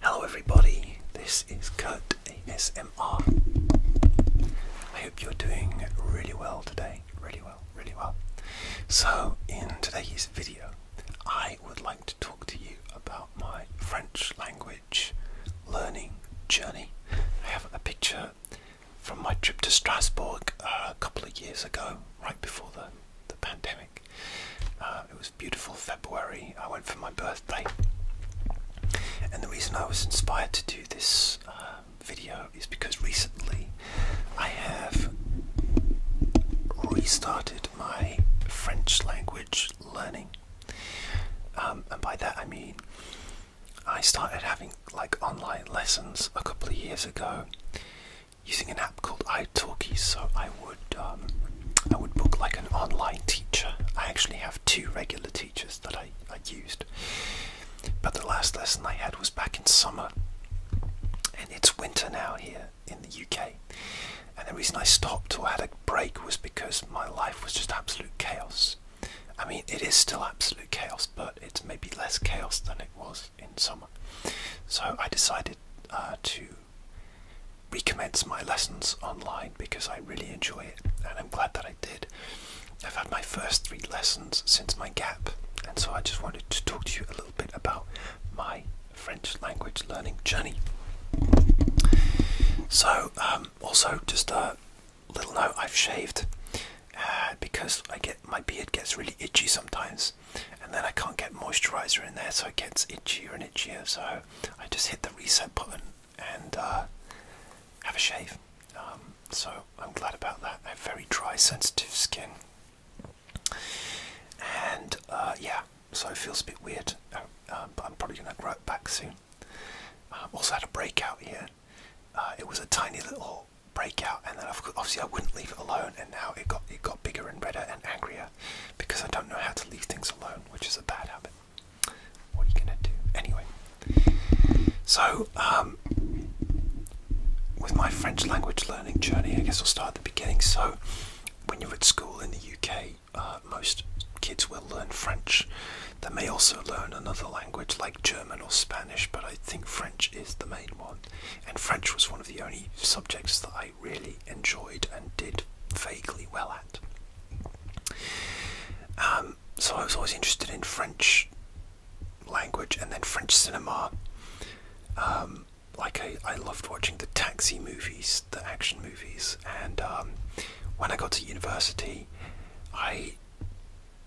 Hello everybody, this is Kurt ASMR. I hope you're doing really well today, really well, really well. So in today's video, I would like to talk to you about my French language learning journey. I have a picture from my trip to Strasbourg uh, a couple of years ago, right before the, the pandemic. Um, it was beautiful February. I went for my birthday, and the reason I was inspired to do this um, video is because recently I have restarted my French language learning, um, and by that I mean I started having like online lessons a couple of years ago using an app called italki so i would um, i would book like an online teacher i actually have two regular teachers that i, I used but the last lesson i had was back in summer and it's winter now here in the uk and the reason i stopped or had a break was because my life was just absolute chaos i mean it is still absolute chaos but it's maybe less chaos than it was in summer so i decided uh, to recommence my lessons online because I really enjoy it and I'm glad that I did. I've had my first three lessons since my gap, and so I just wanted to talk to you a little bit about my French language learning journey. So, um, also just a little note: I've shaved uh, because I get my beard gets really itchy sometimes, and then I can't get moisturizer in there, so it gets itchier and itchier. So I just hit the reset button and uh, have a shave. Um, so I'm glad about that. very dry, sensitive skin, and uh, yeah, so it feels a bit weird, uh, um, but I'm probably gonna grow it back soon. Um, also had a breakout here. it was a tiny little breakout, and then obviously I wouldn't leave it alone, and now it got it got bigger and redder and angrier because I don't know how to leave things alone, which is a bad habit. What are you gonna do? Anyway, so um, with my French language learning journey, I guess I'll start at the beginning. So, when you're at school in the UK, uh, most kids will learn French. They may also learn another language like German or Spanish, but I think French is the main one. And French was one of the only subjects that I really enjoyed and did vaguely well at. Um, so I was always interested in French language and then French cinema. Um, like I, loved watching the taxi movies, the action movies, and um, when I got to university, I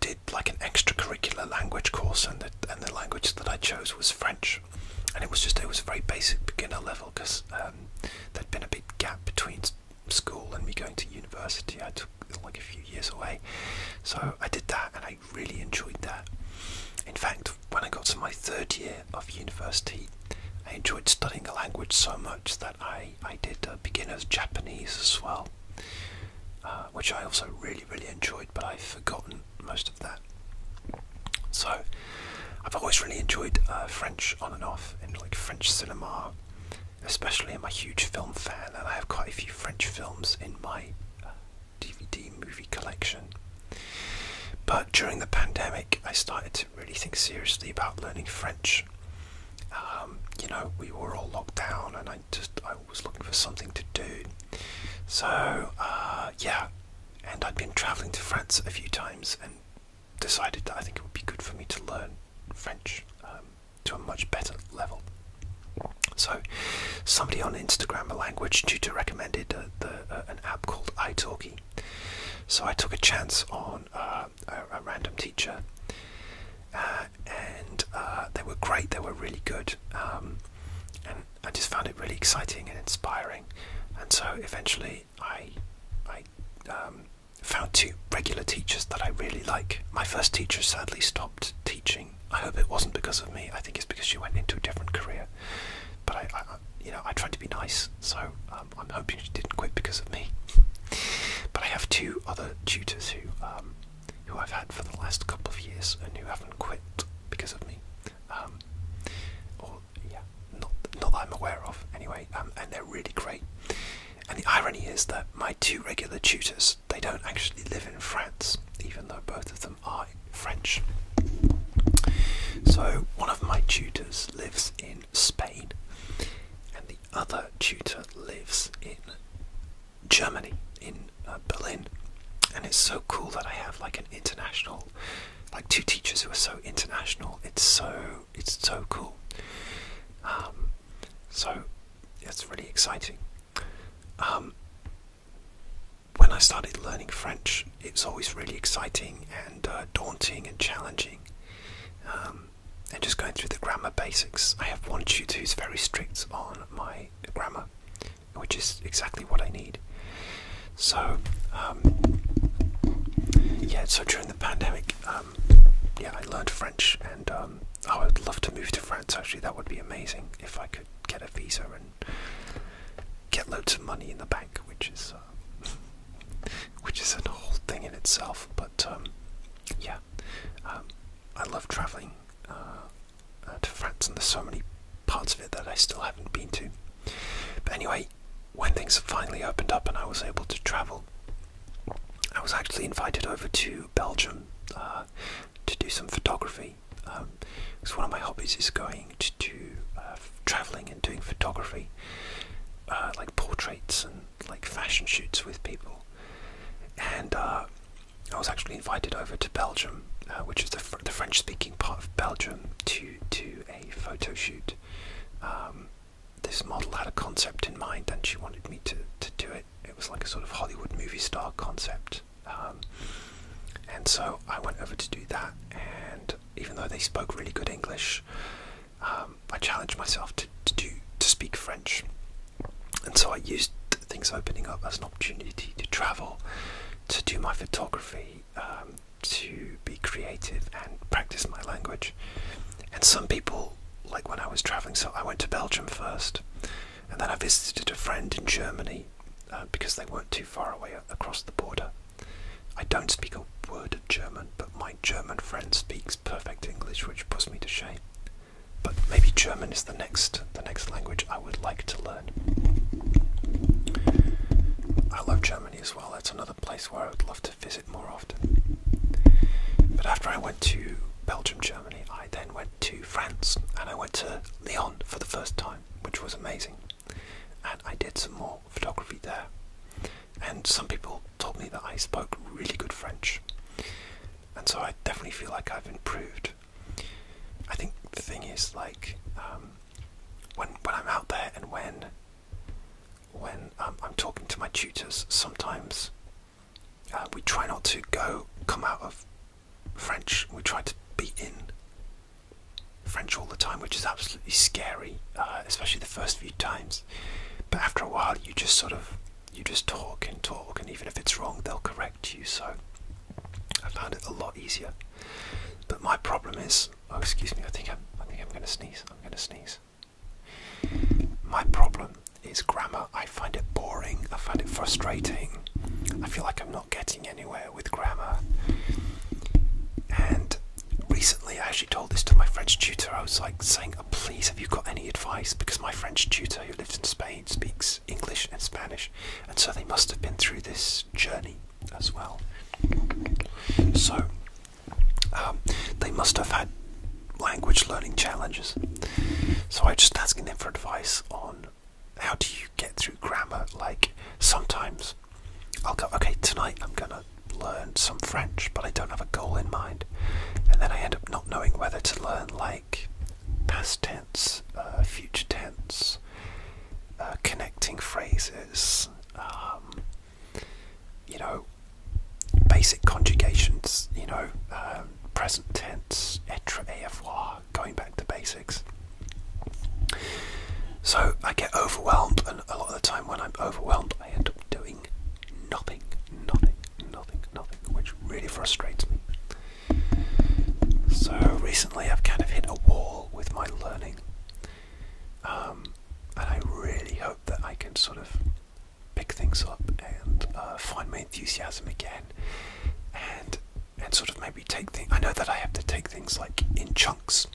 did like an extracurricular language course, and the, and the language that I chose was French. And it was just, it was a very basic beginner level because um, there'd been a big gap between school and me going to university. I took like a few years away. So I did that and I really enjoyed that. In fact, when I got to my third year of university, I enjoyed studying the language so much that I, I did uh, beginner's Japanese as well, uh, which I also really, really enjoyed but I've forgotten most of that. So, I've always really enjoyed uh, French on and off, and like French cinema, especially. I'm a huge film fan, and I have quite a few French films in my DVD uh, movie collection. But during the pandemic, I started to really think seriously about learning French. Um, you know, we were all locked down, and I just I was looking for something to do. So, uh, yeah, and I'd been traveling to France a few times and decided that I think it would be good for me to learn French um, to a much better level. So, somebody on Instagram, a language tutor, recommended uh, uh, an app called italki. So, I took a chance on a, random teacher, and they were great, they were really good. Um, I just found it really exciting and inspiring, and so eventually I I um, found two regular teachers that I really like. My first teacher sadly stopped teaching. I hope it wasn't because of me. I think it's because she went into a different career. But I, you know, I tried to be nice, so um, I'm hoping she didn't quit because of me. But I have two other tutors who um, who I've had for the last couple of years and who haven't quit because of me. Um, or yeah, not not that I'm aware of anyway. Um, and they're really great. And the irony is that my two regular tutors they don't actually live in France, even though both of them are French. So one of my tutors lives in Spain, and the other tutor lives in Germany in uh, Berlin, and it's so cool that I have like an international, like two teachers who are so international. It's so it's so cool. Um, so it's really exciting. Um, when I started learning French, it's always really exciting and uh, daunting and challenging. Um, and just going through the grammar basics. I have one tutor who's very strict on my grammar, which is exactly what I need. So, um, yeah, so during the pandemic, um, yeah, I learned French, and um, I would love to move to France actually. That would be amazing if I could get a visa and get loads of money in the bank, which is. Uh, which is a whole thing in itself, but um, yeah, I love travelling uh, uh, to France, and there's so many parts of it that I still haven't been to. But anyway, when things finally opened up and I was able to travel, I was actually invited over to Belgium uh, to do some photography. because um, one of my hobbies is going to do traveling and doing photography, like portraits and like fashion shoots with people. And I was actually invited over to Belgium, uh, which is the, the French-speaking part of Belgium, to to a photo shoot. Um, this model had a concept in mind, and she wanted me to to do it. It was like a sort of Hollywood movie star concept, um, and so I went over to do that. And even though they spoke really good English, um, I challenged myself to to do to speak French, and so I used things opening up as an opportunity to travel, to do my photography, um, to be creative and practice my language. And some people, like when I was traveling, so I went to Belgium first, and then I visited a friend in Germany uh, because they weren't too far away across the border. I don't speak a word of German, but my German friend speaks perfect English, which puts me to shame but maybe German is the next the next language I would like to learn. I love Germany as well. That's another place where I would love to visit more often. But after I went to Belgium, Germany, I then went to France and I went to Lyon for the first time, which was amazing. And I did some more photography there. And some people told me that I spoke really good French and so I definitely feel like I've improved. I think the thing is like um, when when I'm out there and when when um, I'm talking to my tutors, sometimes uh, we try not to go come out of French. We try to be in French all the time, which is absolutely scary, uh, especially the first few times. But after a while, you just sort of you just talk and talk, and even if it's wrong, they'll correct you. So I found it a lot easier. But my problem is, oh excuse me, I think I'm, I think I'm going to sneeze. I'm going to sneeze. My problem is grammar. I find it boring. I find it frustrating. I feel like I'm not getting anywhere with grammar. And recently, I actually told this to my French tutor. I was like saying Oh, please, have you got any advice? Because my French tutor who lives in Spain speaks English and Spanish, and so they must have been through this journey as well. So um, they must have had language learning challenges. So I'm just asking them for advice on how do you get through grammar. Like sometimes I'll go, okay, tonight I'm gonna learn some French, but I don't have a goal in mind. And then I end up not knowing whether to learn like past tense, uh, future tense, uh, connecting phrases, um, you know, basic conjugations, you know, um, present tense, et avoir, going back to basics. So I get overwhelmed, and a lot of the time when I'm overwhelmed, I end up doing nothing, nothing, nothing, nothing, which really frustrates me. So recently I've kind of hit a wall with my learning. Um, and I really hope that I can sort of pick things up and uh, find my enthusiasm again and and sort of maybe take things. I know that I have to take things like in chunks.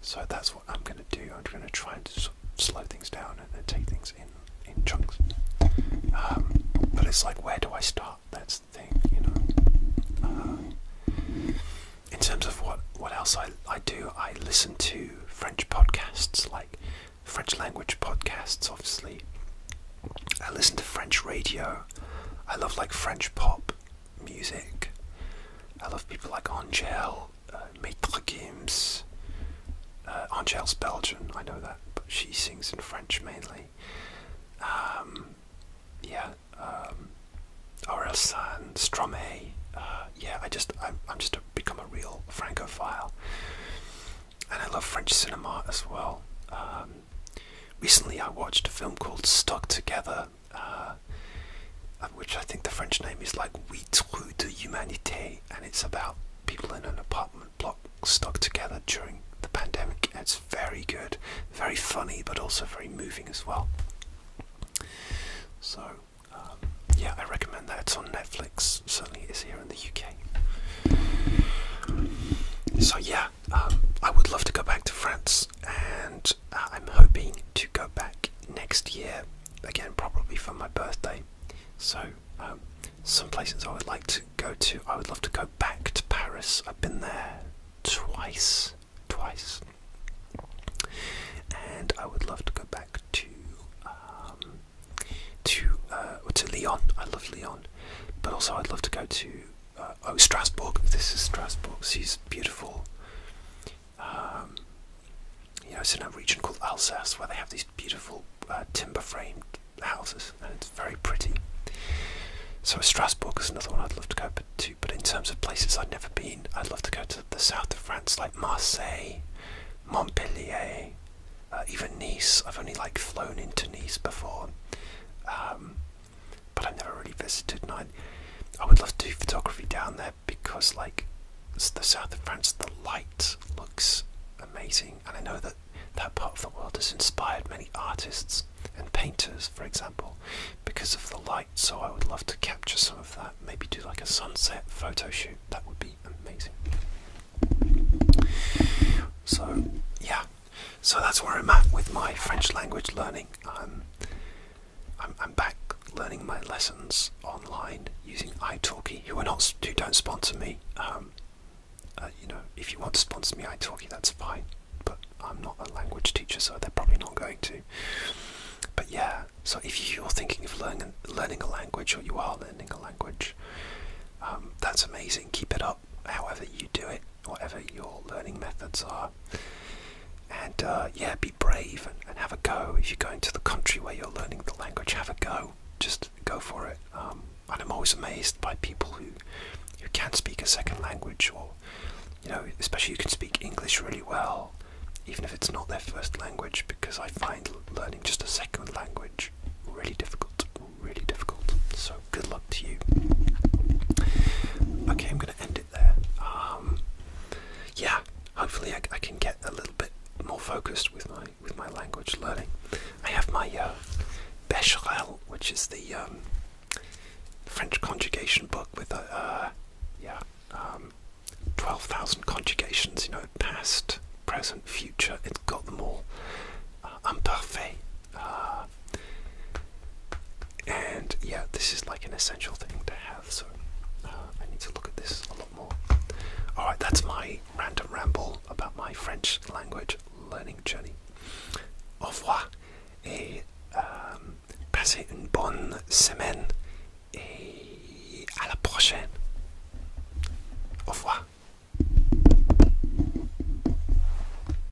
So that's what I'm going to do. I'm going to try and slow things down and, and take things in in chunks. Um, but it's like, where do I start? That's the thing, you know. Uh, in terms of what what else I I do, I listen to French podcasts, like French language podcasts, obviously. I listen to French radio. I love like French pop music. I love people like Angel uh, Maitre Games. Uh, Angèle's Belgian, I know that, but she sings in French mainly. Um, yeah, um, R.L. San, Stromae. Uh, yeah, I just I'm, I'm just a, become a real francophile, and I love French cinema as well. Um, recently, I watched a film called Stuck Together uh, uh, which I think the French name is like Huit Rue de l'Humanité," and it's about people in an apartment block stuck together during the pandemic. it's very good, very funny, but also very moving as well. So, um, yeah, I recommend that. It's on Netflix, certainly it's here in the UK. So, yeah, um, I would love to go back to France and I'm hoping to go back next year again, probably for my birthday. So, um, some places I would like to go to, I would love to go back to Paris. I've been there twice, twice, and I would love to go back to um, to uh, to Lyon. I love Lyon, but also I'd love to go to uh, oh Strasbourg. This is Strasbourg. She's beautiful. Um, you know, it's in a region called Alsace where they have these beautiful uh, timber framed houses and it's very pretty. So Strasbourg is another one I'd love to go to, but in terms of places I've never been, I'd love to go to the south of France like Marseille, Montpellier, uh, even Nice. I've only like flown into Nice before. Um, but I've never really visited. And I, would love to do photography down there because, like, the south of France, the light looks amazing, and I know that that part of the world has inspired many artists and painters, for example, because of the light. So I would love to capture some of that. Maybe do like a sunset photo shoot. That would be amazing. So yeah, so that's where I'm at with my French language learning. Um, I'm, I'm back learning my lessons online using italki who are not who don't sponsor me um, uh, you know if you want to sponsor me italki that's fine but i'm not a language teacher so they're probably not going to but yeah so if you're thinking of learning learning a language or you are learning a language um, that's amazing keep it up however you do it whatever your learning methods are and uh, yeah, be brave and, have a go. If you're going to the country where you're learning the language, have a go. Just go for it. Um, and I'm always amazed by people who who can speak a second language, or you know, especially you can speak English really well, even if it's not their first language. Because I find learning just a second language really difficult, really difficult. So good luck to you. Okay, I'm going to end it um, yeah, hopefully I, can get a little bit more focused with my with my language learning. I have my uh, which is the um, French conjugation book with uh, uh, yeah um, twelve thousand conjugations. You know, past, present, future. It's got them all. Uh, uh, and yeah, this is like an essential thing to have, so uh, I need to look at this a lot more. Alright, that's my random ramble about my French language learning journey. Au revoir et um, passez une bonne semaine et à la prochaine. Au revoir.